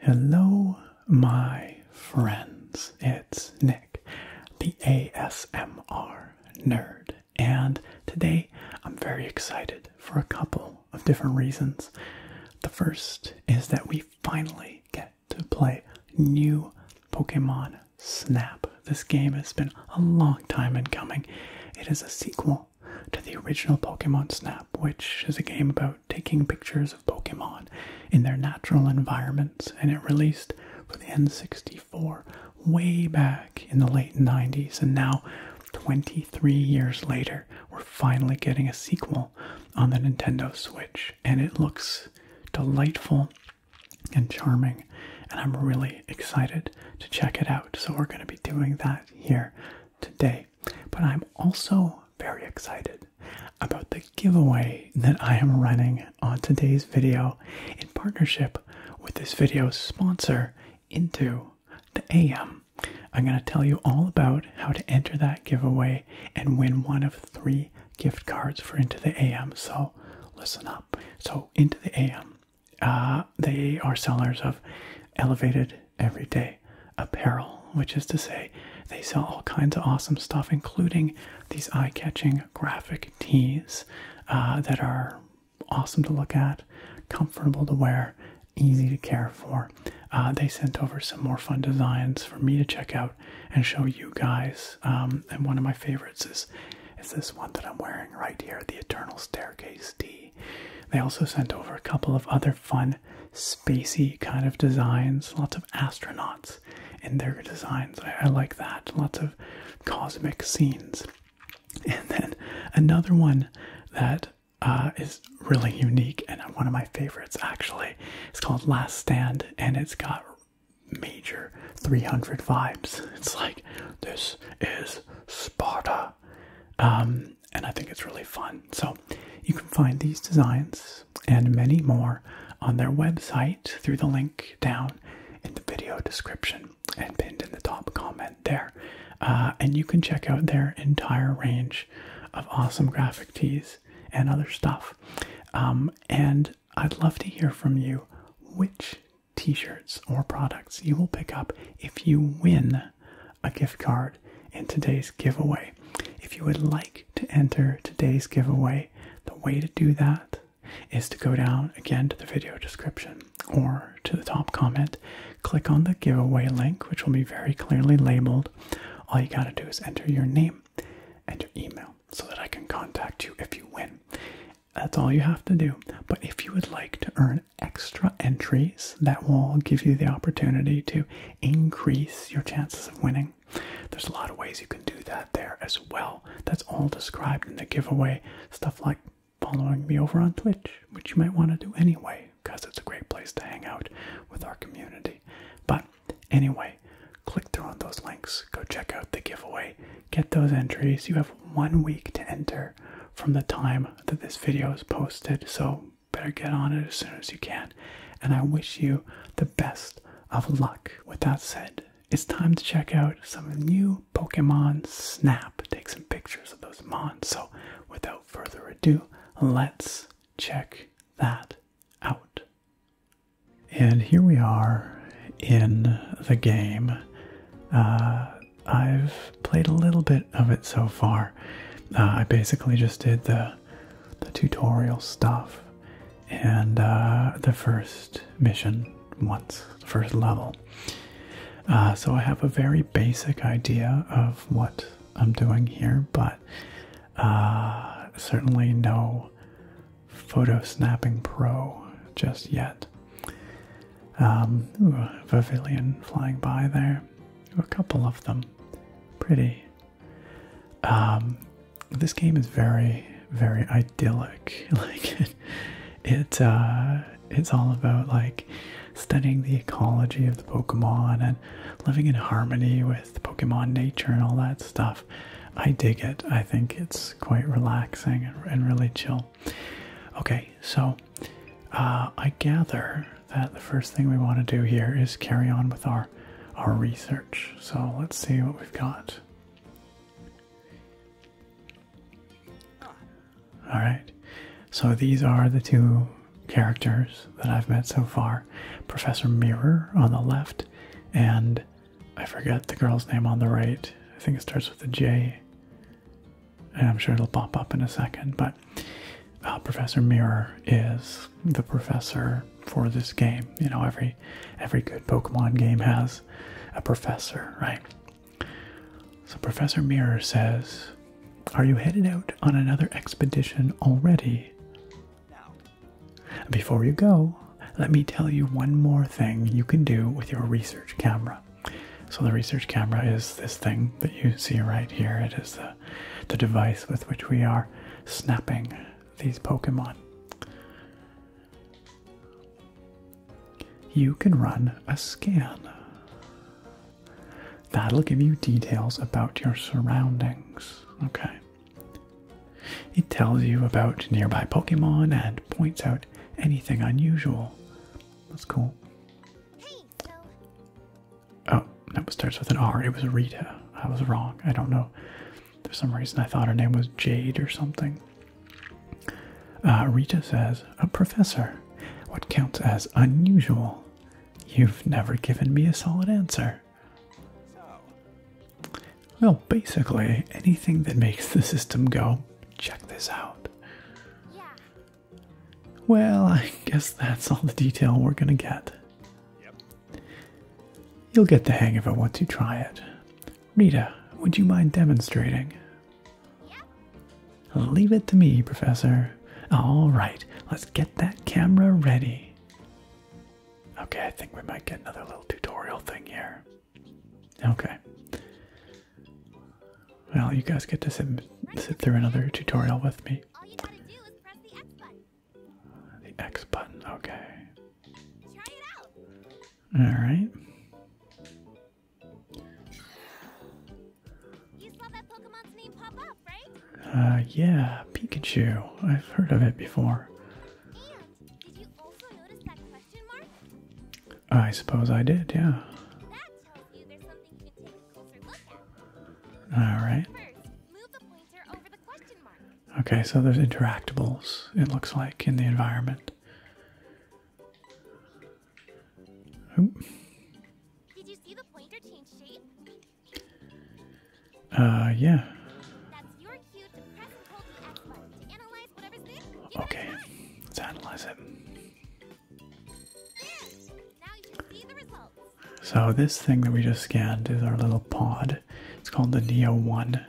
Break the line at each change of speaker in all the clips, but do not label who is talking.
Hello, my friends. It's Nick, the ASMR nerd, and today I'm very excited for a couple of different reasons. The first is that we finally get to play new Pokemon Snap. This game has been a long time in coming. It is a sequel to the original Pokemon Snap, which is a game about taking pictures of Pokemon in their natural environments, and it released for the N64 way back in the late 90s, and now 23 years later, we're finally getting a sequel on the Nintendo Switch, and it looks delightful and charming, and I'm really excited to check it out. So, we're going to be doing that here today. But I'm also very excited about the giveaway that I am running on today's video in partnership with this video's sponsor, into the AM, I'm going to tell you all about how to enter that giveaway and win one of three gift cards for Into the AM. So listen up. So, Into the AM, uh, they are sellers of elevated everyday apparel, which is to say, they sell all kinds of awesome stuff, including these eye catching graphic tees uh, that are awesome to look at, comfortable to wear, easy to care for. Uh, they sent over some more fun designs for me to check out and show you guys. Um, and one of my favorites is is this one that I'm wearing right here, the Eternal Staircase D. They also sent over a couple of other fun, spacey kind of designs. Lots of astronauts in their designs. I like that. Lots of cosmic scenes. And then another one that uh, is really unique and one of my favorites actually. It's called Last Stand and it's got major 300 vibes. It's like this is Sparta. Um, and I think it's really fun. So you can find these designs and many more on their website through the link down in the video description and pinned in the top comment there. Uh, and you can check out their entire range of awesome graphic tees and other stuff. Um, and I'd love to hear from you which t shirts or products you will pick up if you win a gift card in today's giveaway. If you would like to enter today's giveaway, the way to do that is to go down again to the video description or to the top comment Click on the giveaway link, which will be very clearly labeled. All you got to do is enter your name and your email so that I can contact you if you win. That's all you have to do. But if you would like to earn extra entries, that will give you the opportunity to increase your chances of winning. There's a lot of ways you can do that there as well. That's all described in the giveaway. Stuff like following me over on Twitch, which you might want to do anyway because it's a great place to hang out with our community. But anyway, click through on those links, go check out the giveaway, get those entries. You have one week to enter from the time that this video is posted, so better get on it as soon as you can. And I wish you the best of luck. With that said, it's time to check out some new Pokemon Snap. Take some pictures of those mons. So, without further ado, let's check that out. And here we are in the game. Uh, I've played a little bit of it so far. Uh, I basically just did the, the tutorial stuff and uh, the first mission once, the first level. so I have a very basic idea of what I'm doing here, but uh, certainly no Photo Snapping Pro just yet. Um, a Pavilion flying by there. A couple of them. Pretty. Um, this game is very, very idyllic. Like it, it uh, it's all about like studying the ecology of the Pokemon and living in harmony with Pokemon nature and all that stuff. I dig it. I think it's quite relaxing and, really chill. Okay, so uh, I gather that the first thing we want to do here is carry on with our our research. So let's see what we've got. Ah. All right. So these are the two characters that I've met so far Professor Mirror on the left, and I forget the girl's name on the right. I think it starts with a J. And I'm sure it'll pop up in a second, but uh, Professor Mirror is the professor for this game. You know, every every good Pokemon game has a professor, right? So Professor Mirror says, are you headed out on another expedition already? Before you go, let me tell you one more thing you can do with your research camera. So, the research camera is this thing that you see right here. It is the, device with which we are snapping these Pokemon. You can run a scan. That'll give you details about your surroundings. Okay. It tells you about nearby Pokemon and points out anything unusual. That's cool. Oh, that starts with an R. It was Rita. I was wrong. I don't know. For some reason, I thought her name was Jade or something. Uh, Rita says, a professor. What counts as unusual You've never given me a solid answer. Well, basically, anything that makes the system go, check this out. Yeah. Well, I guess that's all the detail we're gonna get. Yep. You'll get the hang of it once you try it. Rita, would you mind demonstrating? Leave it to me, Professor. All right, let's get that camera ready. Okay, I think we might get another little tutorial thing here. Okay. Well, you guys get to sit, sit through another tutorial with me. The X button, okay. All right. You saw that Pokemon's name pop up, right? Uh, yeah, Pikachu. I've heard of it before. I suppose I did, yeah. Alright. Okay, so there's interactables, it looks like, in the environment. Did you see the pointer change shape? Uh, yeah. Okay, let's analyze it. So this thing that we just scanned is our little pod. It's called the Neo1,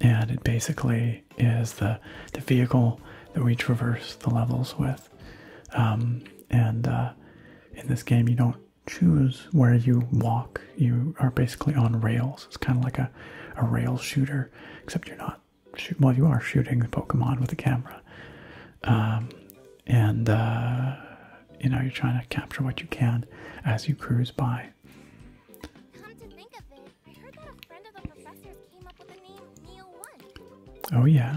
and it basically is the, the vehicle that we traverse the levels with. Um, and uh, in this game, you don't choose where you walk, you are basically on rails. It's kind of like a, a rail shooter, except you're not shooting. well you are shooting the pokemon with the camera um, and uh, you know you're trying to capture what you can as you cruise by Oh yeah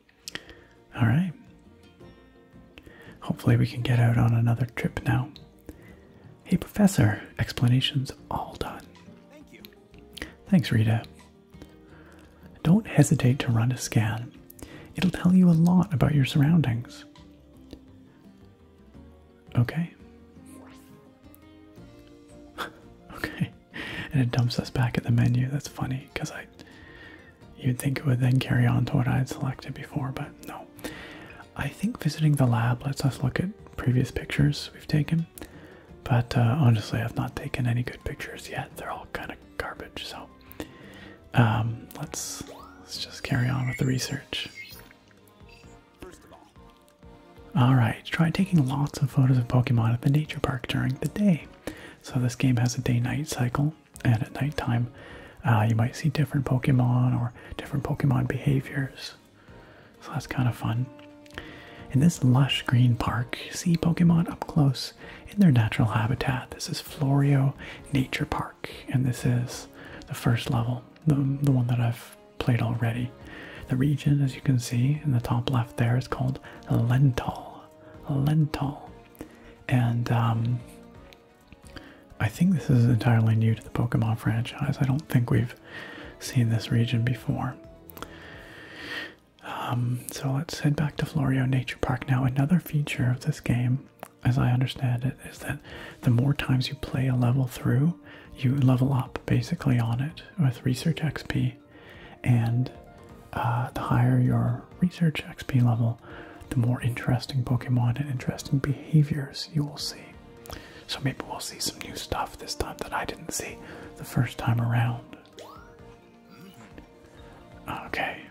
All right. Hopefully, we can get out on another trip now. Hey, Professor, explanation's all done. Thank you. Thanks, Rita. Don't hesitate to run a scan, it'll tell you a lot about your surroundings. Okay. okay. And it dumps us back at the menu. That's funny because I You'd think it would then carry on to what I had selected before, but no. I think visiting the lab lets us look at previous pictures we've taken, but uh, honestly, I've not taken any good pictures yet. They're all kind of garbage, so um, let's let's just carry on with the research. All right, try taking lots of photos of Pokemon at the nature park during the day. So this game has a day-night cycle, and at nighttime, uh, you might see different Pokemon or different Pokemon behaviors. So that's kind of fun. In this lush green park, see Pokemon up close in their natural habitat. This is Florio Nature Park, and this is the first level, the, the one that I've played already. The region, as you can see in the top left there, is called Lental lentil. And um, I think this is entirely new to the Pokemon franchise. I don't think we've seen this region before. Um, so let's head back to Florio Nature Park. Now, another feature of this game, as I understand it, is that the more times you play a level through, you level up basically on it with research XP. And uh, the higher your research XP level, the more interesting Pokemon and interesting behaviors you will see. So maybe we'll see some new stuff this time that I didn't see the first time around. Okay.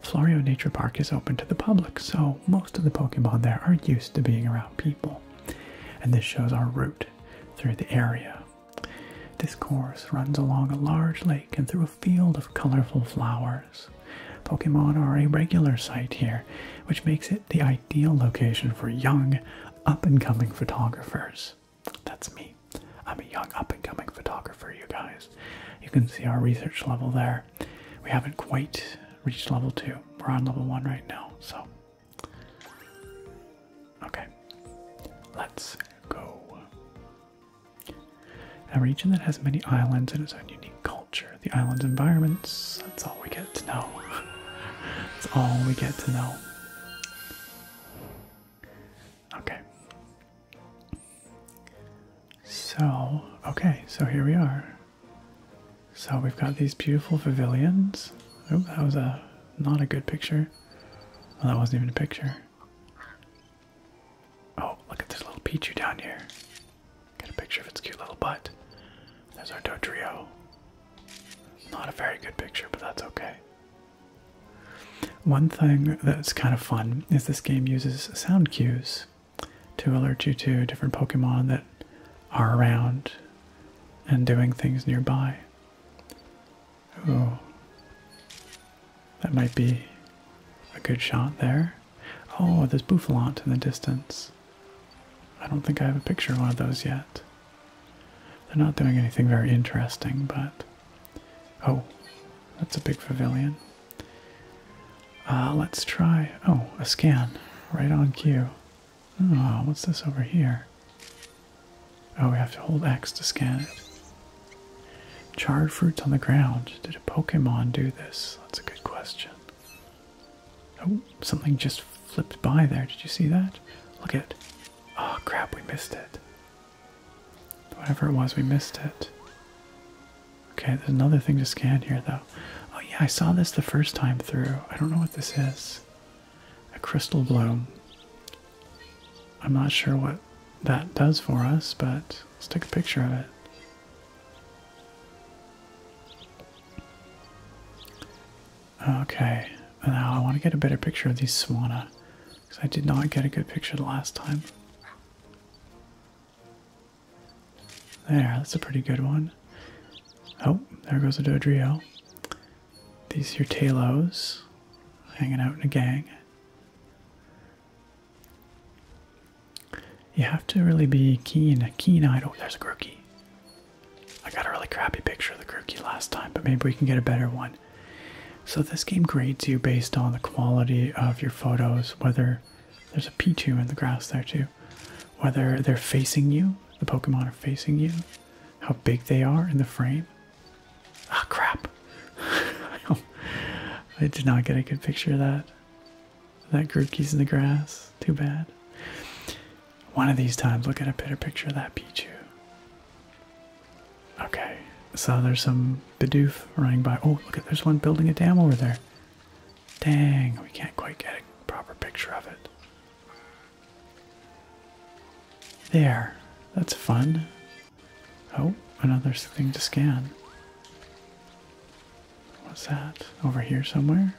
Florio Nature Park is open to the public, so most of the Pokemon there are used to being around people. And this shows our route through the area. This course runs along a large lake and through a field of colorful flowers. Pokemon are a regular sight here, which makes it the ideal location for young, up and coming photographers. That's me. I'm a young, up and coming photographer, you guys. You can see our research level there. We haven't quite reached level 2, we're on level 1 right now, so. Okay, let's go. A region that has many islands and its own unique culture. The island's environments, that's all we get to know. that's all we get to know. Okay. So, okay, so here we are. So we've got these beautiful pavilions. Oh, that was a not a good picture. Well, that wasn't even a picture. Oh, look at this little Pichu down here. Get a picture of its cute little butt. There's our Dodrio. Not a very good picture, but that's okay. One thing that's kind of fun is this game uses sound cues to alert you to different Pokemon that are around and doing things nearby. Oh, That might be a good shot there. Oh, there's Bouffalant in the distance. I don't think I have a picture of one of those yet. They're not doing anything very interesting, but... Oh, that's a big pavilion. Uh, let's try... Oh, a scan. Right on cue. Oh, what's this over here? Oh, we have to hold X to scan it. Charred fruits on the ground. Did a Pokemon do this? That's a good question. Oh, something just flipped by there. Did you see that? Look at Oh, crap, we missed it. Whatever it was, we missed it. Okay, there's another thing to scan here, though. Oh, yeah, I saw this the first time through. I don't know what this is. A crystal bloom. I'm not sure what that does for us, but let's take a picture of it. Okay, now I want to get a better picture of these swanna because I did not get a good picture the last time. There, that's a pretty good one. Oh, there goes a Dodrio. These are your talos hanging out in a gang. You have to really be keen, keen-eyed. Oh, there's a Grookey. I got a really crappy picture of the Grookey last time, but maybe we can get a better one. So this game grades you based on the quality of your photos, whether there's a Pichu in the grass there too, whether they're facing you, the Pokemon are facing you, how big they are in the frame, oh, crap. I did not get a good picture of that. That Grookey's in the grass. Too bad. One of these times, we'll get a better picture of that Pichu. Okay, so there's some Bidoof running by. Oh, look at there's one building a dam over there. Dang, we can't quite get a proper picture of it. There, that's fun. Oh, another thing to scan. What's that? Over here somewhere?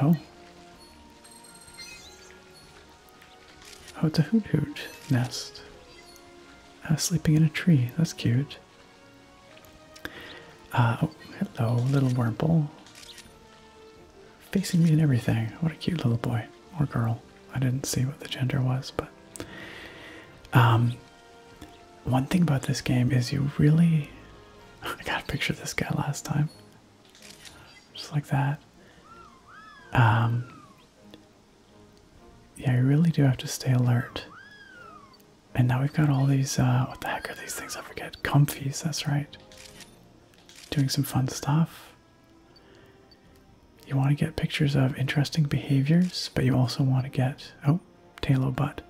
Oh. Oh, it's a hoot hoot nest. Uh, sleeping in a tree. That's cute. Uh, oh, hello, little Wurmple facing me and everything. What a cute little boy or girl. I didn't see what the gender was, but um, one thing about this game is you really. I got a picture of this guy last time, just like that. Um, yeah, you really do have to stay alert. And now we've got all these. Uh, what the heck are these things? I forget. Comfies. That's right. Doing some fun stuff. You want to get pictures of interesting behaviors, but you also want to get oh, tailo butt.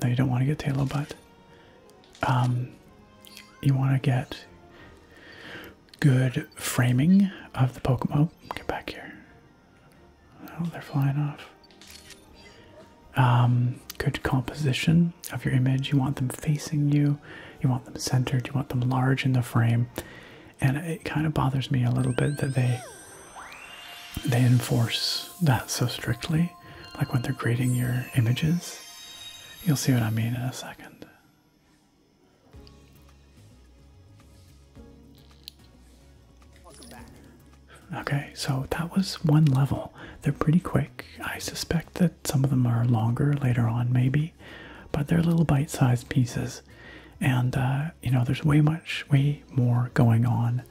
No, you don't want to get tailo butt. Um, you want to get good framing of the Pokemon. Oh, get back here. Oh, they're flying off. Um, good composition of your image. You want them facing you you want them centered, you want them large in the frame, and it kind of bothers me a little bit that they they enforce that so strictly, like when they're grading your images. You'll see what I mean in a second. Okay, so that was one level. They're pretty quick. I suspect that some of them are longer later on, maybe, but they're little bite-sized pieces. And uh, you know, there's way much, way more going on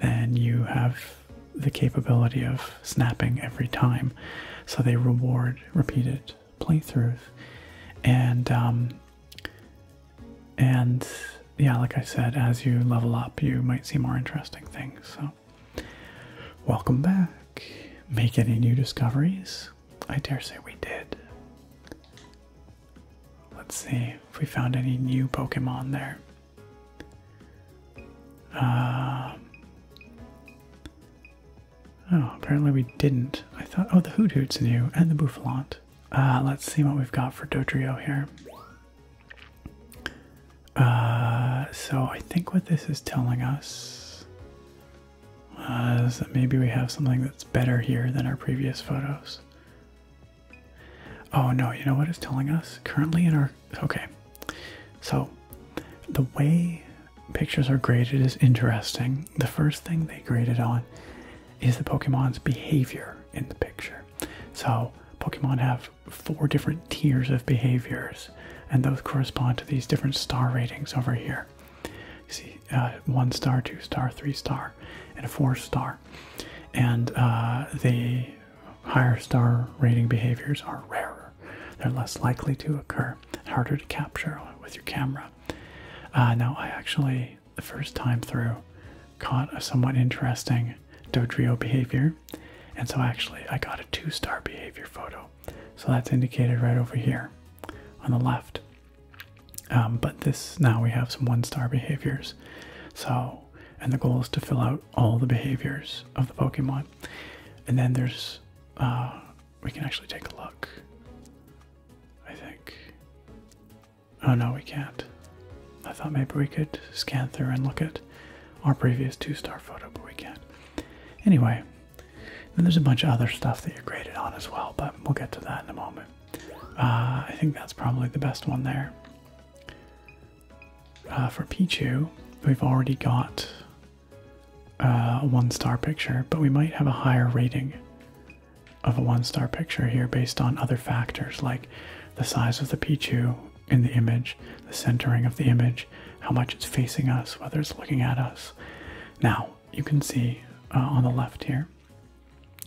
than you have the capability of snapping every time. So they reward repeated playthroughs, and um, and yeah, like I said, as you level up, you might see more interesting things. So, welcome back. Make any new discoveries? I dare say we did. Let's see if we found any new Pokemon there. Uh, oh, apparently we didn't. I thought, oh, the Hoot Hoot's new and the Boufflant. Uh, let's see what we've got for Dodrio here. Uh, so I think what this is telling us uh, maybe we have something that's better here than our previous photos. Oh no, you know what it's telling us? Currently in our. Okay. So the way pictures are graded is interesting. The first thing they graded on is the Pokemon's behavior in the picture. So Pokemon have four different tiers of behaviors, and those correspond to these different star ratings over here. You see, uh, one star, two star, three star, and a four star. And uh, the higher star rating behaviors are rarer. They're less likely to occur, harder to capture with your camera. Uh, now, I actually, the first time through, caught a somewhat interesting dodoio behavior. And so actually, I got a two star behavior photo so that's indicated right over here on the left. Um, but this now we have some one star behaviors. So, and the goal is to fill out all the behaviors of the Pokemon. And then there's, uh, we can actually take a look. I think. Oh no, we can't. I thought maybe we could scan through and look at our previous two star photo, but we can't. Anyway, and there's a bunch of other stuff that you're graded on as well, but we'll get to that in a moment. Uh, I think that's probably the best one there. Uh, for Pichu, we've already got uh, a one-star picture, but we might have a higher rating of a one-star picture here based on other factors like the size of the Pichu in the image, the centering of the image, how much it's facing us, whether it's looking at us. Now, you can see uh, on the left here,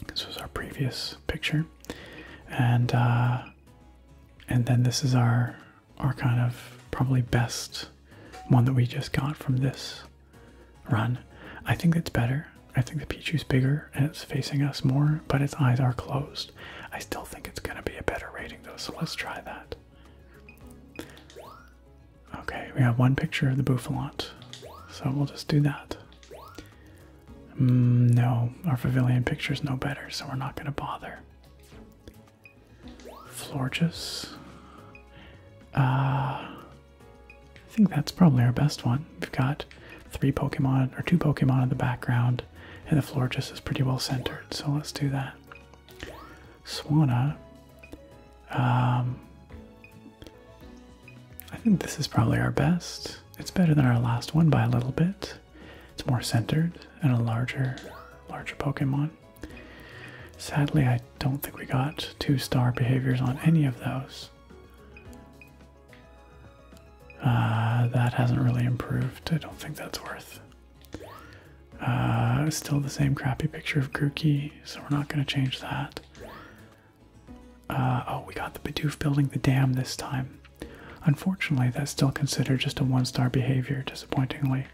this was our previous picture. And uh, and then this is our our kind of probably best one that we just got from this run. I think it's better. I think the is bigger and it's facing us more, but its eyes are closed. I still think it's gonna be a better rating though, so let's try that. Okay, we have one picture of the Boufflant, so we'll just do that. Mm, no, our pavilion picture is no better, so we're not going to bother. Florges. Uh, I think that's probably our best one. We've got three Pokemon, or two Pokemon in the background, and the Florges is pretty well centered, so let's do that. Swanna. Um, I think this is probably our best. It's better than our last one by a little bit. It's more centered and a larger, larger Pokemon. Sadly, I don't think we got two star behaviors on any of those. Uh, that hasn't really improved. I don't think that's worth uh, still the same crappy picture of Grookey, so we're not going to change that. Uh, oh, we got the Bidoof building the dam this time. Unfortunately, that's still considered just a one star behavior, disappointingly.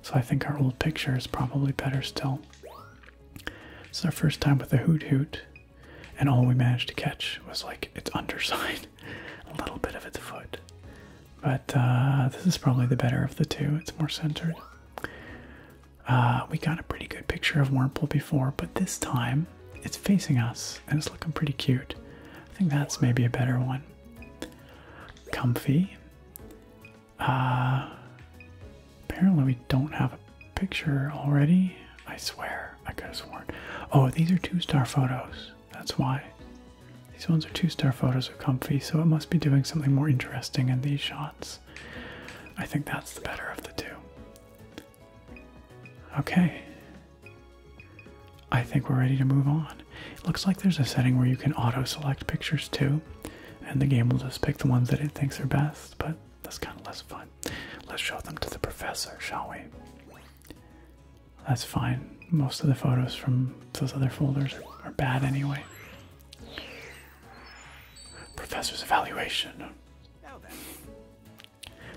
So I think our old picture is probably better still. It's our first time with the Hoot Hoot, and all we managed to catch was like its underside, a little bit of its foot. But uh, this is probably the better of the two. It's more centered. Uh, we got a pretty good picture of Wurmple before, but this time it's facing us and it's looking pretty cute. I think that's maybe a better one. Comfy. Uh, apparently, we don't have a picture already. I swear, I could have sworn. Oh, these are two star photos. That's why. These ones are two star photos are comfy, so it must be doing something more interesting in these shots. I think that's the better of the two. Okay. I think we're ready to move on. It looks like there's a setting where you can auto select pictures too, and the game will just pick the ones that it thinks are best, but that's kind of less fun. Let's show them to the professor, shall we? That's fine most of the photos from those other folders are, bad anyway. Professor's evaluation.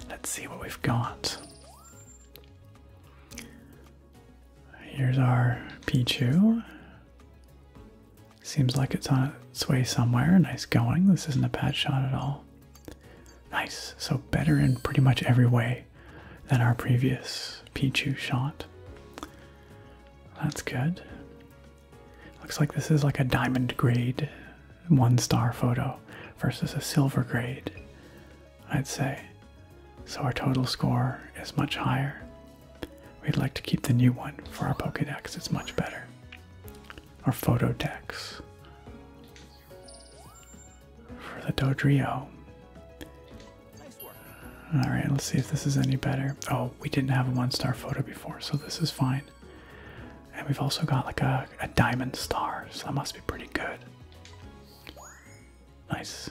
Let's see what we've got. Here's our Pichu. Seems like it's on its way somewhere. Nice going. This isn't a bad shot at all. Nice. So better in pretty much every way than our previous Pichu shot. That's good. Looks like this is like a diamond grade one star photo versus a silver grade, I'd say. So our total score is much higher. We'd like to keep the new one for our Pokedex, it's much better. Or Photodex. For the Dodrio, all right, let's see if this is any better. Oh, we didn't have a one-star photo before, so this is fine. And we've also got like a, a diamond star, so that must be pretty good. Nice.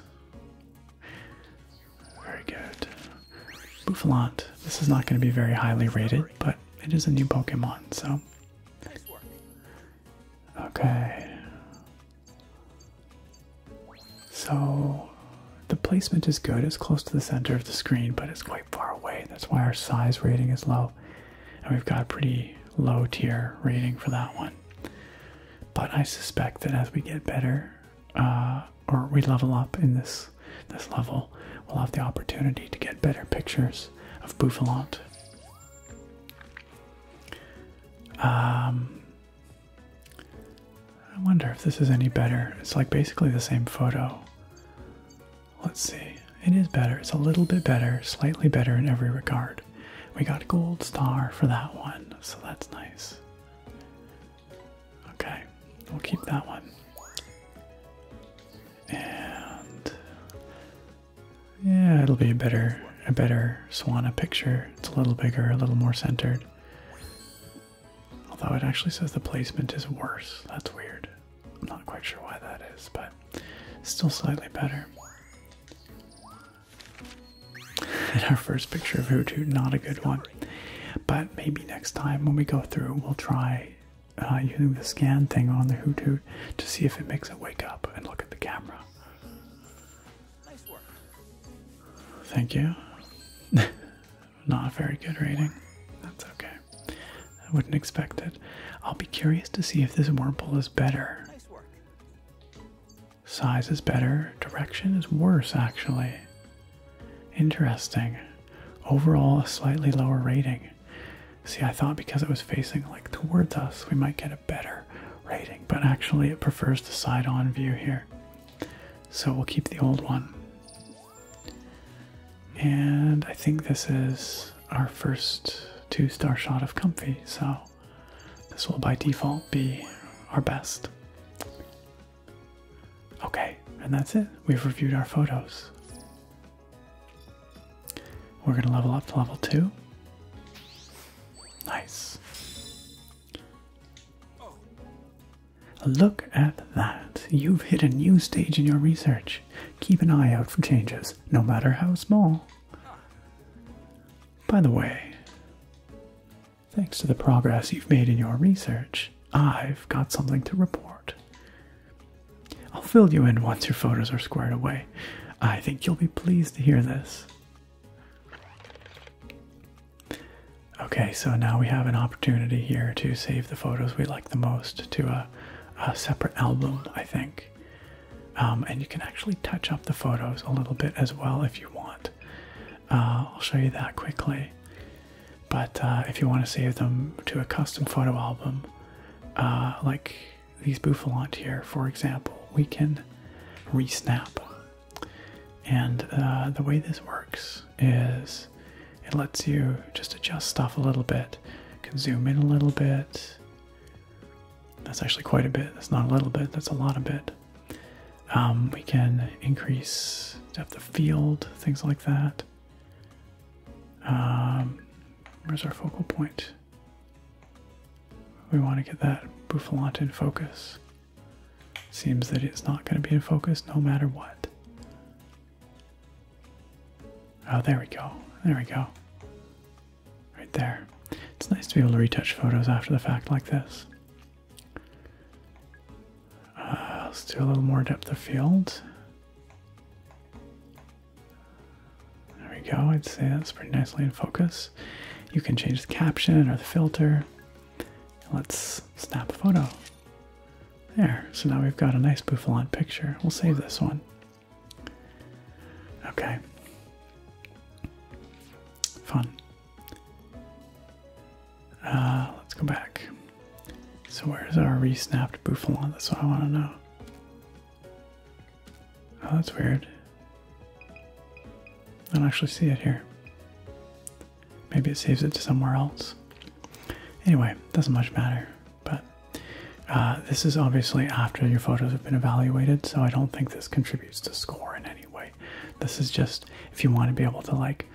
Very good. Bouffalant. This is not going to be very highly rated, but it is a new Pokemon, so. Okay. So the placement is good. It's close to the center of the screen, but it's quite far away. That's why our size rating is low. And we've got a pretty low tier rating for that one. But I suspect that as we get better, uh, or we level up in this this level, we'll have the opportunity to get better pictures of Buffalant. Um, I wonder if this is any better. It's like basically the same photo. Let's see. It is better. It's a little bit better, slightly better in every regard. We got a gold star for that one, so that's nice. Okay, we'll keep that one. And yeah, it'll be a better a better swana picture. It's a little bigger, a little more centered. Although it actually says the placement is worse. That's weird. I'm not quite sure why that is, but still slightly better. And our first picture of Hutu, not a good one. But maybe next time when we go through, we'll try uh, using the scan thing on the Hutu to see if it makes it wake up and look at the camera. Nice work. Thank you. Not a very good rating. That's okay. I wouldn't expect it. I'll be curious to see if this wormhole is better. Size is better. Direction is worse, actually. Interesting. Overall, a slightly lower rating. See, I thought because it was facing like towards us, we might get a better rating, but actually, it prefers the side on view here. So we'll keep the old one. And I think this is our first two star shot of Comfy, so this will by default be our best. Okay, and that's it. We've reviewed our photos. We're going to level up to level two. Nice. Look at that. You've hit a new stage in your research. Keep an eye out for changes, no matter how small. By the way, thanks to the progress you've made in your research, I've got something to report. I'll fill you in once your photos are squared away. I think you'll be pleased to hear this. Okay, so now we have an opportunity here to save the photos we like the most to a, separate album, I think. Um, and you can actually touch up the photos a little bit as well if you want. Uh, I'll show you that quickly. But uh, if you want to save them to a custom photo album, uh, like these Buffalant here, for example, we can resnap and uh, the way this works is it lets you just adjust stuff a little bit, can zoom in a little bit. That's actually quite a bit. That's not a little bit. That's a lot of bit. Um, we can increase depth of field, things like that. Um, where's our focal point? We want to get that boufflant in focus. Seems that it's not going to be in focus no matter what. Oh, there we go. There we go. Right there. It's nice to be able to retouch photos after the fact like this. Uh, let's do a little more depth of field. There we go. I'd say that's pretty nicely in focus. You can change the caption or the filter. Let's snap a photo. There, so now we've got a nice Boufflant picture. We'll save this one. Okay. Fun. Uh, let's go back. So where's our resnapped snapped That's what I want to know. Oh, that's weird. I don't actually see it here. Maybe it saves it to somewhere else. Anyway, doesn't much matter. But uh, this is obviously after your photos have been evaluated, so I don't think this contributes to score in any way. This is just if you want to be able to like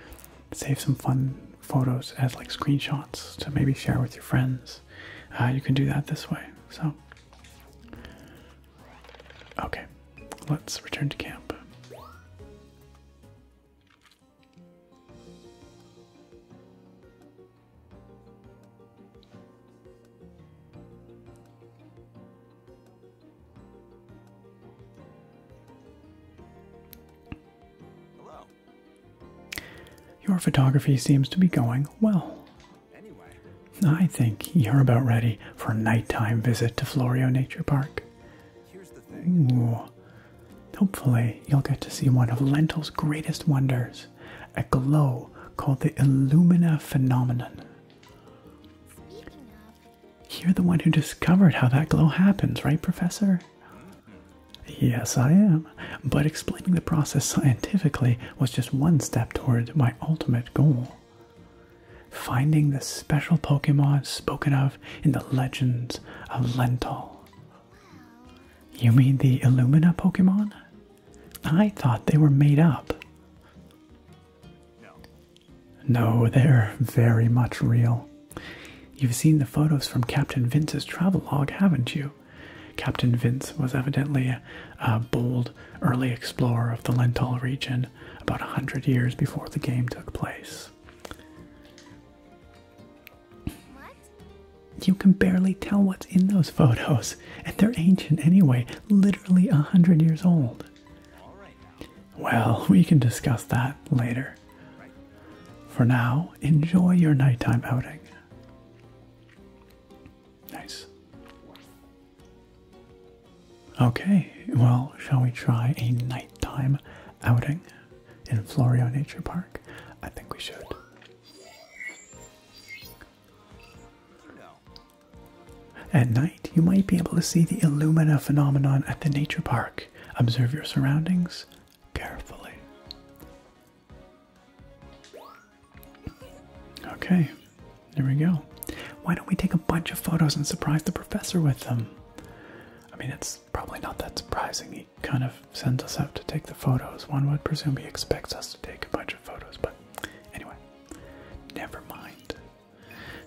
save some fun photos as like screenshots to maybe share with your friends. Uh, you can do that this way. So Okay, let's return to camp. Your photography seems to be going well. I think you're about ready for a nighttime visit to Florio Nature Park. Ooh. Hopefully, you'll get to see one of Lentil's greatest wonders, a glow called the Illumina phenomenon. You're the one who discovered how that glow happens, right, Professor? Mm-hmm. Yes, I am. But explaining the process scientifically was just one step toward my ultimate goal finding the special Pokemon spoken of in the legends of Lental. You mean the Illumina Pokemon? I thought they were made up. No, they're very much real. You've seen the photos from Captain Vince's travel log, haven't you? Captain Vince was evidently a, a bold early explorer of the Lental region about a 100 years before the game took place. You can barely tell what's in those photos, and they're ancient anyway, literally a 100 years old. well, we can discuss that later. For now, enjoy your nighttime outing. Nice. Okay, well, shall we try a nighttime outing in Florio Nature Park? I think we should. At night, you might be able to see the Illumina phenomenon at the nature park. Observe your surroundings carefully. Okay, there we go. Why don't we take a bunch of photos and surprise the professor with them? I mean, it's probably not that surprising. He kind of sends us out to take the photos. One would presume he expects us to take a bunch of photos, but anyway, never mind.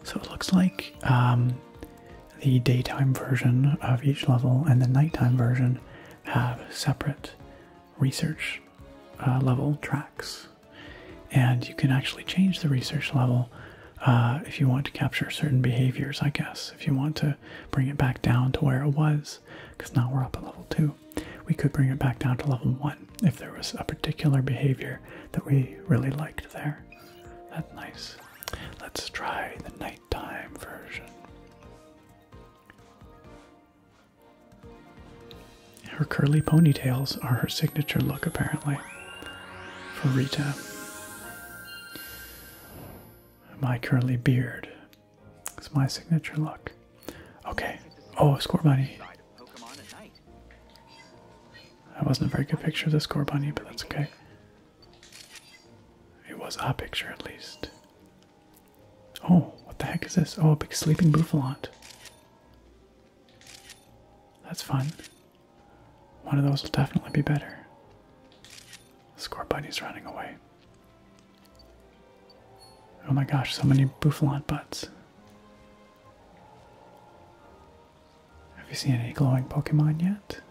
So it looks like um, the daytime version of each level and the nighttime version have separate research uh, level tracks and you can actually change the research level uh, if you want to capture certain behaviors, I guess. If you want to bring it back down to where it was, because now we're up at level two, we could bring it back down to level one if there was a particular behavior that we really liked there. That's nice. Let's try the nighttime version. Her curly ponytails are her signature look, apparently, for Rita. My curly beard is my signature look. Okay. Oh, score bunny. That wasn't a very good picture of the score bunny, but that's okay. It was a picture at least. Oh, what the heck is this? Oh, a big sleeping bouffant. That's fun. One of those will definitely be better. Score bunny's running away. Oh my gosh, so many bouffalant butts. Have you seen any glowing Pokemon yet?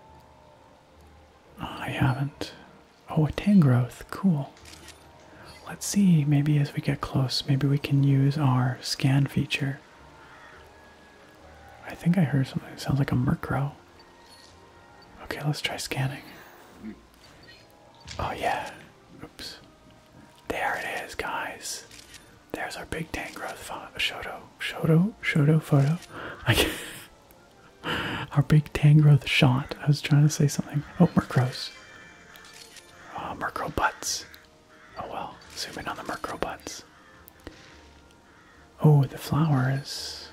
Oh, I haven't. Oh, a Tangrowth. Cool. Let's see, maybe as we get close, maybe we can use our scan feature. I think I heard something. It sounds like a Murkrow. Okay, let's try scanning. Oh yeah. Oops. There it is, guys. There's our big Tangrowth Shoto. Shoto. Shoto photo? Our big Tangrowth shot. I was trying to say something. Oh, Murkrows. Oh, Murkrow butts. Oh well, zoom in on the Murkrobots. Oh, the flowers.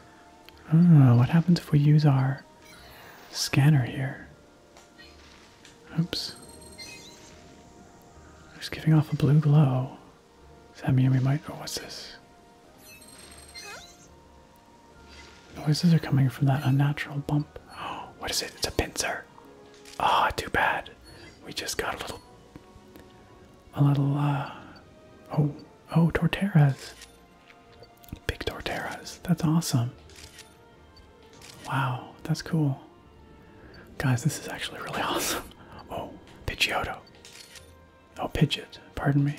Oh, what happens if we use our scanner here? Oops. It's giving off a blue glow. Does that mean we might... Oh, what's this? Noises are coming from that unnatural bump. Oh, what is it? It's a pincer. Ah, oh, too bad. We just got a little, a little. Uh, oh, oh, torteras. Big torteras. That's awesome. Wow, that's cool. Guys, this is actually really awesome. Oh, Pidgeotto. Oh, Pidgeot. Pardon me.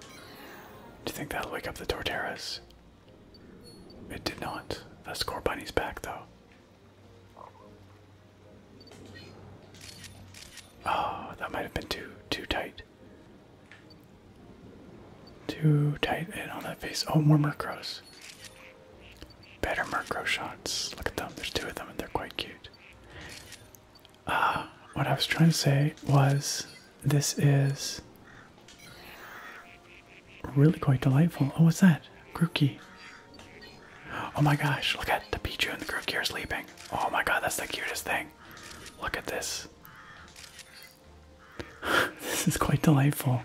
Do you think that'll wake up the Torteras? It did not. The score bunny's back though. Oh, that might have been too too tight. Too tight and on that face. Oh, more Murkrows. Better Murkrow shots. Look at them. There's two of them and they're quite cute. Ah, what I was trying to say was this is really quite delightful. Oh, what's that? Grookey. Oh my gosh, look at the Pichu and the Grookey are sleeping. Oh my god, that's the cutest thing. Look at this. this is quite delightful.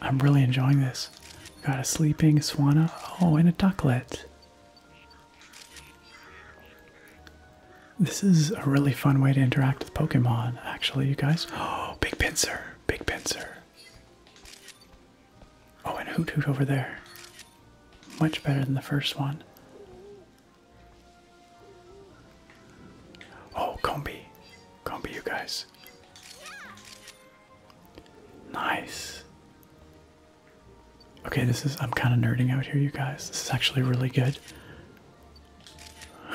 I'm really enjoying this. Got a sleeping swan. Oh, and a ducklet. This is a really fun way to interact back Pokemon, actually, you guys. Oh, Big Pincer. Big Pincer. Oh, and Hoot Hoot over there. Much better than the first one. Oh, Combi. Combi, you guys. Nice. Okay, this is. I'm kind of nerding out here, you guys. This is actually really good.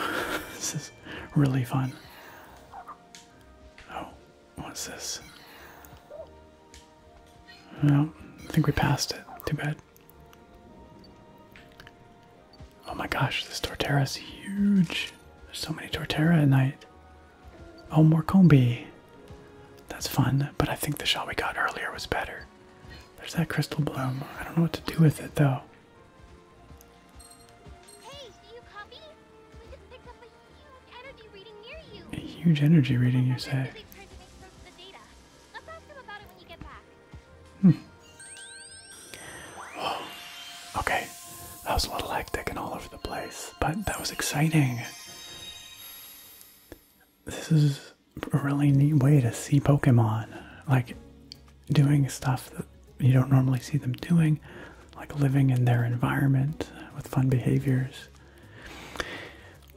this is really fun. Oh, what's this? No, I think we passed it. Too bad. Oh my gosh, this Torterra is huge. There's so many Torterra at night. Oh, more Combi. That's fun, but I think the shot we got earlier was better. There's that crystal bloom. I don't know what to do with it though a huge energy reading you. A say? Hmm. Okay. That was a little hectic and all over the place, but that was exciting. This is a really neat way to see Pokemon. Like, doing stuff that you don't normally see them doing, like living in their environment with fun behaviors.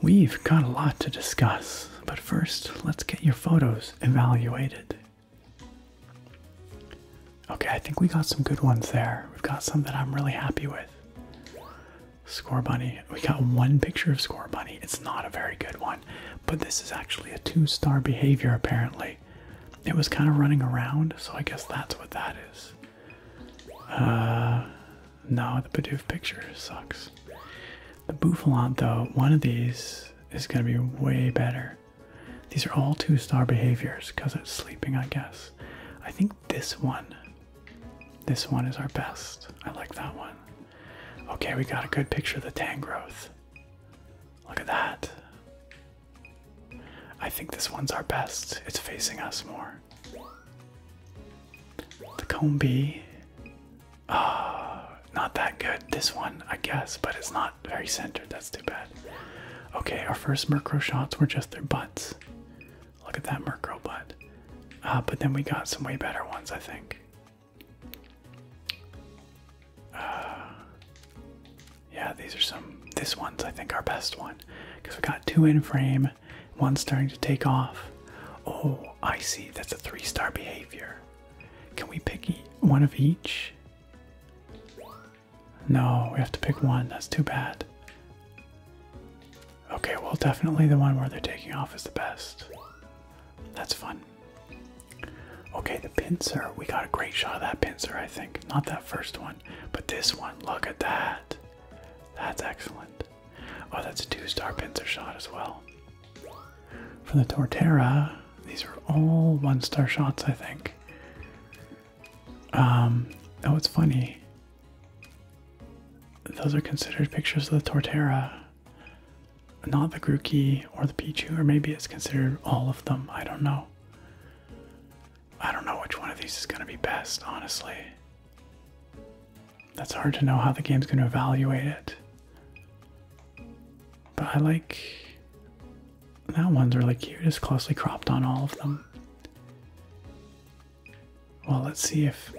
We've got a lot to discuss, but first, let's get your photos evaluated. Okay, I think we got some good ones there. We've got some that I'm really happy with. Score Bunny. We got one picture of Score Bunny. It's not a very good one, but this is actually a two star behavior, apparently. It was kind of running around, so I guess that's what that is. Uh, no, the Bidoof picture sucks. The Bouffalant, though, one of these is going to be way better. These are all two star behaviors because it's sleeping, I guess. I think this one, this one is our best. I like that one. Okay, we got a good picture of the Tangrowth. Look at that. I think this one's our best. It's facing us more. The combi. Ah, not that good. This one, I guess, but it's not very centered. That's too bad. Okay, our first Murkrow shots were just their butts. Look at that Murkrow butt. Uh, but then we got some way better ones, I think. yeah, these are some. This one's I think our best one because we got two in frame, one starting to take off. Oh, I see. That's a three-star behavior. Can we pick one of each? No, we have to pick one. That's too bad. Okay, well, definitely the one where they're taking off is the best. That's fun. Okay, the pincer. We got a great shot of that pincer, I think. Not that first one, but this one. Look at that. That's excellent. Oh, that's a two star pincer shot as well. For the tortera, these are all one star shots, I think. Um, oh, it's funny. Those are considered pictures of the tortera not the Grookey or the Pichu, or maybe it's considered all of them. I don't know. I don't know which one of these is going to be best, honestly. That's hard to know how the game's going to evaluate it. But I like. That one's really cute. It's closely cropped on all of them. Well, let's see if.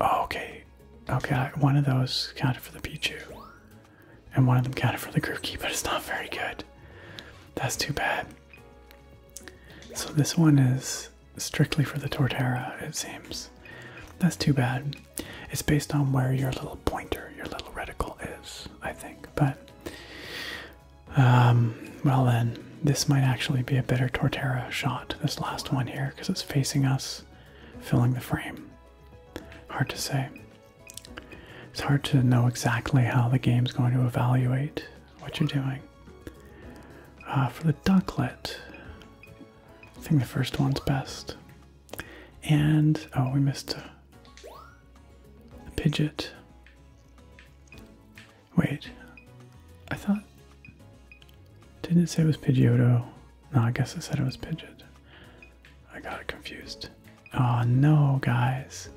Oh, okay. Okay, one of those counted for the Pichu and one of them got it for the group key, but it's not very good. That's too bad. So this one is strictly for the Torterra, it seems. That's too bad. It's based on where your little pointer, your little reticle is, I think. But, um, well then, this might actually be a better Torterra shot, this last one here, because it's facing us, filling the frame. Hard to say. It's hard to know exactly how the game's going to evaluate what you're doing. Uh, for the ducklet, I think the first one's best. And, oh, we missed a, a Pidget. Wait, I thought, didn't it say it was Pidgeotto? No, I guess I said it was Pidgeot. I got confused. Oh no, guys.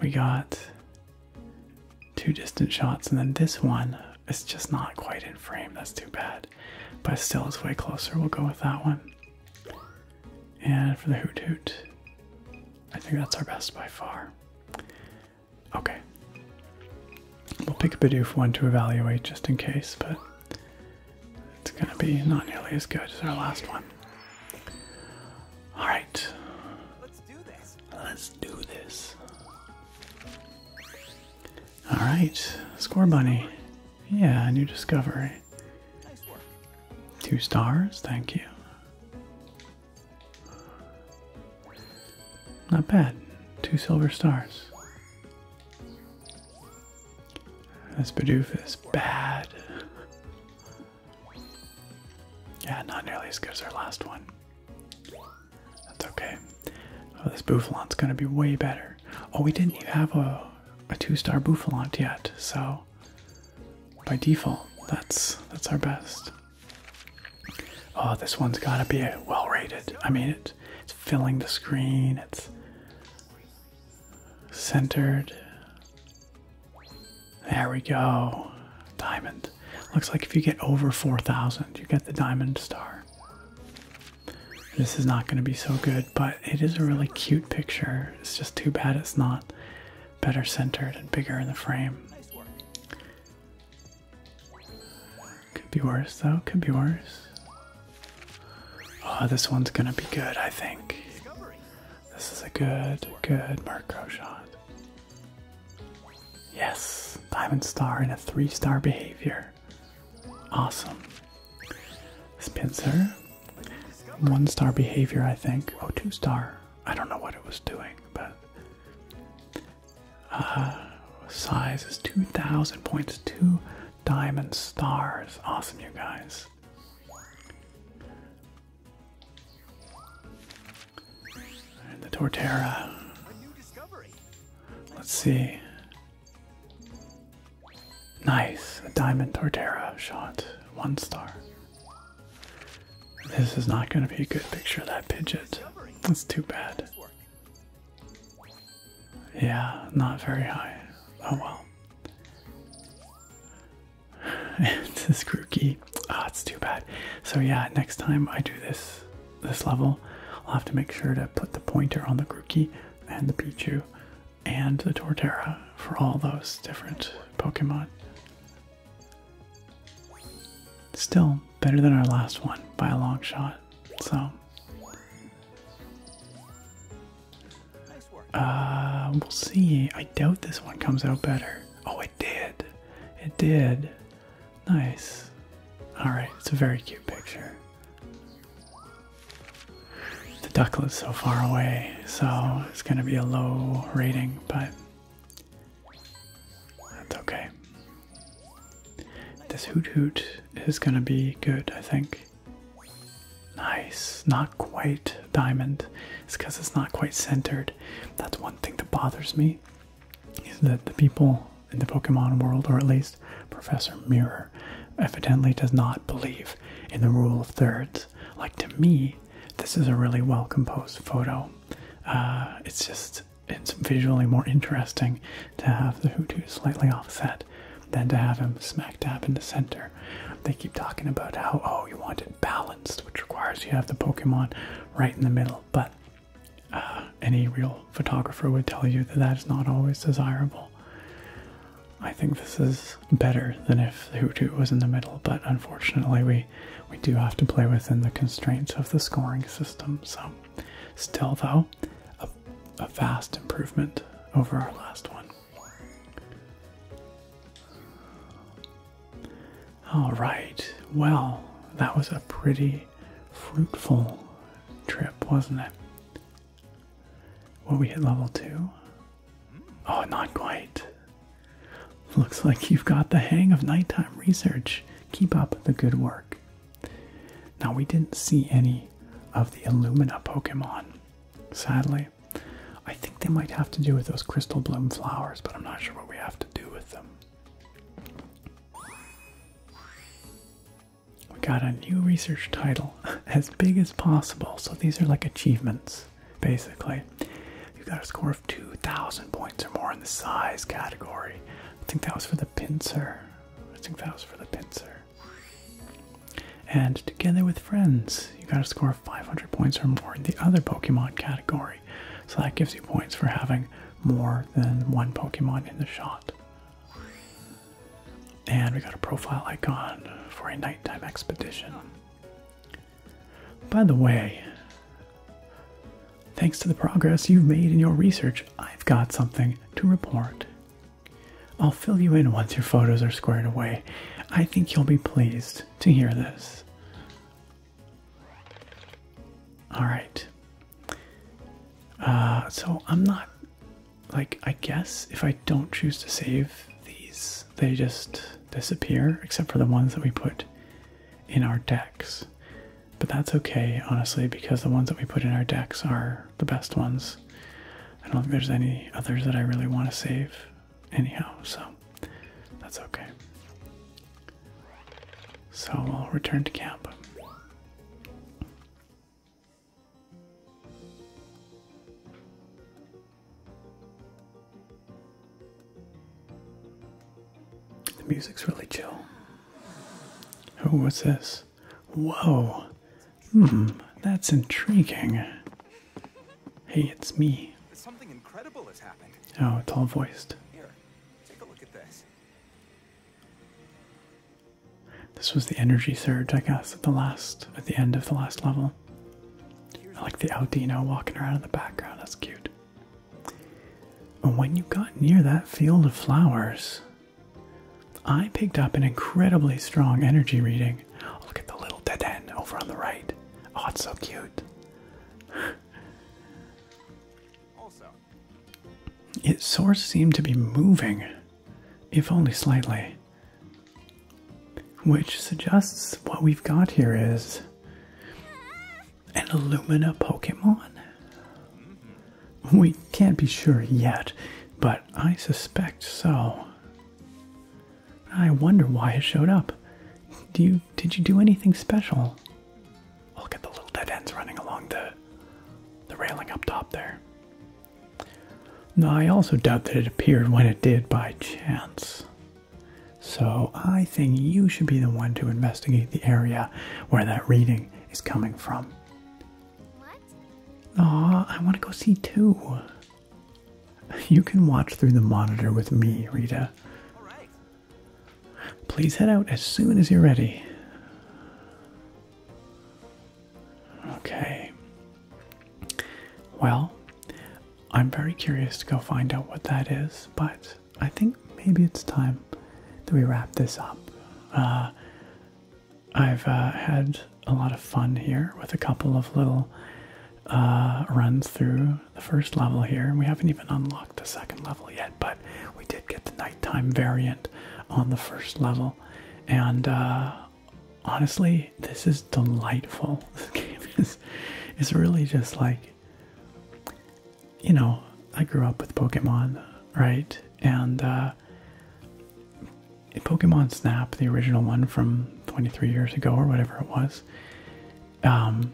We got two distant shots, and then this one is just not quite in frame. That's too bad. But still, it's way closer. We'll go with that one. And for the Hoot Hoot, I think that's our best by far. Okay. We'll pick a Bidoof one to evaluate just in case, but it's gonna be not nearly as good as our last one. Alright. Let's do this. Let's do this. Alright, score bunny. Yeah, new discovery. Two stars, thank you. Not bad. Two silver stars. This Bidoof is bad. Yeah, not nearly as good as our last one. That's okay. Oh, this Buffalant's gonna be way better. Oh, we didn't even have a, a two-star Buffalant yet, so by default, that's that's our best. Oh, this one's gotta be well rated. I mean, it's filling the screen. It's centered. There we go. Diamond. Looks like if you get over 4,000, you get the diamond star. This is not going to be so good, but it is a really cute picture. It's just too bad it's not better centered and bigger in the frame. Could be worse, though. Could be worse. Oh, this one's gonna be good, I think. This is a good, good Murkrow shot. Yes, Diamond Star in a three star behavior. Awesome. Spencer, one star behavior, I think. Oh, two star. I don't know what it was doing, but. Uh, size is 2,000 points, two Diamond stars. Awesome, you guys. the Torterra. Let's see. Nice. A diamond Torterra shot. One star. This is not going to be a good picture of that pigeon. That's too bad. Yeah, not very high. Oh well. it's this grookey. Ah, it's too bad. So yeah, next time I do this this level, I'll have to make sure to put the pointer on the Grookey and the Pichu and the Torterra for all those different Pokemon. Still better than our last one by a long shot. So um, we'll see. I doubt this one comes out better. Oh, it did. It did. Nice. Alright, it's a very cute picture. The is so far away, so it's gonna be a low rating, but that's okay. This hoot hoot is gonna be good, I think. Nice. Not quite diamond. It's because it's not quite centered. That's one thing that bothers me is that the people in the Pokemon world, or at least Professor Mirror, evidently does not believe in the rule of thirds. Like to me, this is a really well composed photo. Uh, it's just it's visually more interesting to have the Hutu slightly offset than to have him smack dab in the center. They keep talking about how, oh, you want it balanced, which requires you have the Pokemon right in the middle, but uh, any real photographer would tell you that that is not always desirable. I think this is better than if the Hutu was in the middle, but unfortunately we, we do have to play within the constraints of the scoring system. So, still though, a, a vast improvement over our last one. All right, well, that was a pretty fruitful trip, wasn't it? Well, we hit level two. Oh, not quite. Looks like you've got the hang of nighttime research. Keep up the good work. Now, we didn't see any of the Illumina Pokemon, sadly. I think they might have to do with those crystal bloom flowers, but I'm not sure what we have to do with them. We got a new research title, as big as possible. So these are like achievements, basically. You got a score of 2,000 points or more in the size category. I think that was for the pincer. I think that was for the pincer. And together with friends, you gotta score 500 points or more in the other Pokemon category. So that gives you points for having more than one Pokemon in the shot. And we got a profile icon for a nighttime expedition. By the way, thanks to the progress you've made in your research, I've got something to report I'll fill you in once your photos are squared away. I think you'll be pleased to hear this. All right. Uh, so I'm not like I guess if I don't choose to save these, they just disappear, except for the ones that we put in our decks. But that's okay, honestly, because the ones that we put in our decks are the best ones. I don't think there's any others that I really want to save, anyhow, so that's okay. So we'll return to camp. The music's really chill. Oh, what's this? Whoa! Hmm, that's intriguing. Hey, it's me. Oh, it's all voiced. Here, take a look at this. This was the energy surge, I guess, at the last at the end of the last level. like the Audino walking around in the background, that's cute. And when you got near that field of flowers, I picked up an incredibly strong energy reading. look at the little dead end over on the right. Oh, it's so cute. also. Its source seemed to be moving, if only slightly. Which suggests what we've got here is an Illumina Pokemon. Mm-hmm. We can't be sure yet, but I suspect so. I wonder why it showed up. Do you did you do anything special? Look at the little dead ends running along the the railing up top there. Now I also doubt that it appeared when it did by chance. So I think you should be the one to investigate the area where that reading is coming from. Aw, I want to go see too. You can watch through the monitor with me, Rita. Please head out as soon as you're ready. Okay. Well, I'm very curious to go find out what that is, but I think maybe it's time that we wrap this up. Uh, I've uh, had a lot of fun here with a couple of little uh, runs through the first level here. We haven't even unlocked the second level yet, but we did get the nighttime variant on the first level. And uh, honestly, this is delightful. This game is, is really just like, you know, I grew up with Pokemon, right? And uh, Pokemon Snap, the original one from 23 years ago or whatever it was, um,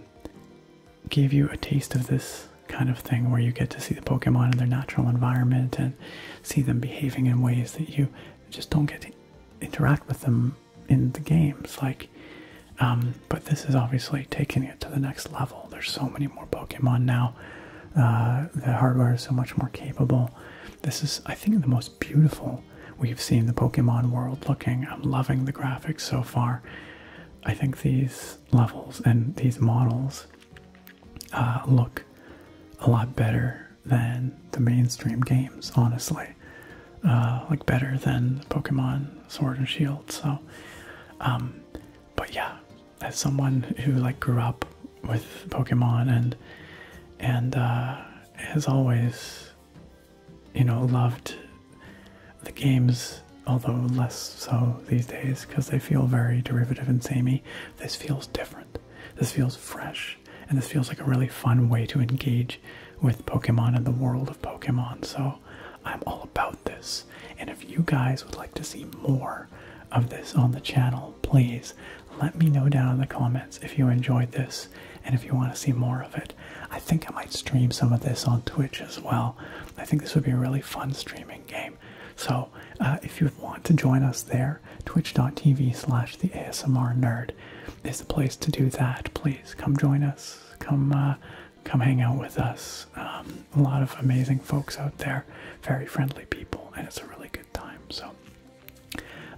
gave you a taste of this kind of thing where you get to see the Pokemon in their natural environment and see them behaving in ways that you just don't get to interact with them in the games. Like, um, but this is obviously taking it to the next level. There's so many more Pokemon now uh, the hardware is so much more capable. This is, I think, the most beautiful we've seen the Pokemon world looking. I'm loving the graphics so far. I think these levels and these models uh, look a lot better than the mainstream games, honestly. Uh, like better than Pokemon Sword and Shield. So, um, but yeah, as someone who like grew up with Pokemon and and uh, has always, you know, loved the games, although less so these days because they feel very derivative and samey. This feels different. This feels fresh, and this feels like a really fun way to engage with Pokemon and the world of Pokemon. So I'm all about this. And if you guys would like to see more of this on the channel, Please let me know down in the comments if you enjoyed this and if you want to see more of it. I think I might stream some of this on Twitch as well. I think this would be a really fun streaming game. So uh, if you want to join us there, twitch.tv slash the is the place to do that. Please come join us. Come uh, come hang out with us. Um, a lot of amazing folks out there, very friendly people, and it's a really good time. So,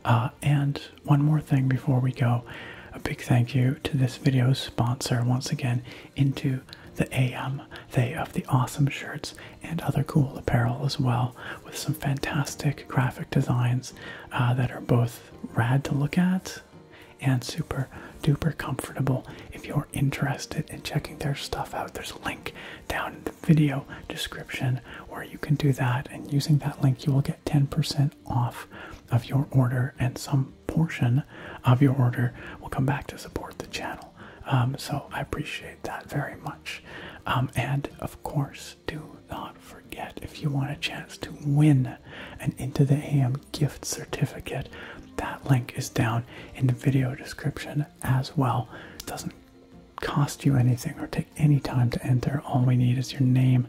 uh, and one more thing before we go, a big thank you to this video sponsor once again, Into the AM. They have the awesome shirts and other cool apparel as well, with some fantastic graphic designs uh, that are both rad to look at and super duper comfortable. If you're interested in checking their stuff out, there's a link down in the video description where you can do that. And using that link, you will get 10% off of your order, and some portion of your order will come back to support the channel. Um, so I appreciate that very much. Um, and of course, do not forget if you want a chance to win an Into the AM gift certificate, that link is down in the video description as well. It doesn't cost you anything or take any time to enter. All we need is your name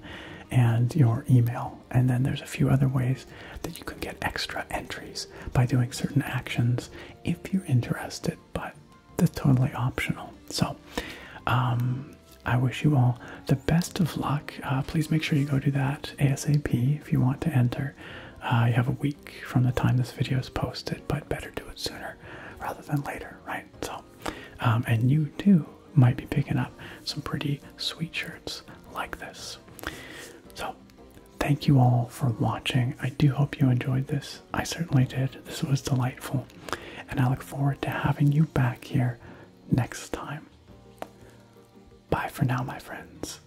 and your email. And then there's a few other ways that you can get extra entries by doing certain actions if you're interested, but that's totally optional. So, um, I wish you all the best of luck. Uh, please make sure you go do that ASAP if you want to enter. Uh, you have a week from the time this video is posted but better do it sooner rather than later, right? So, um, and you too might be picking up some pretty sweet shirts like this. So, thank you all for watching. I do hope you enjoyed this. I certainly did. This was delightful. And I look forward to having you back here next time. Bye for now, my friends.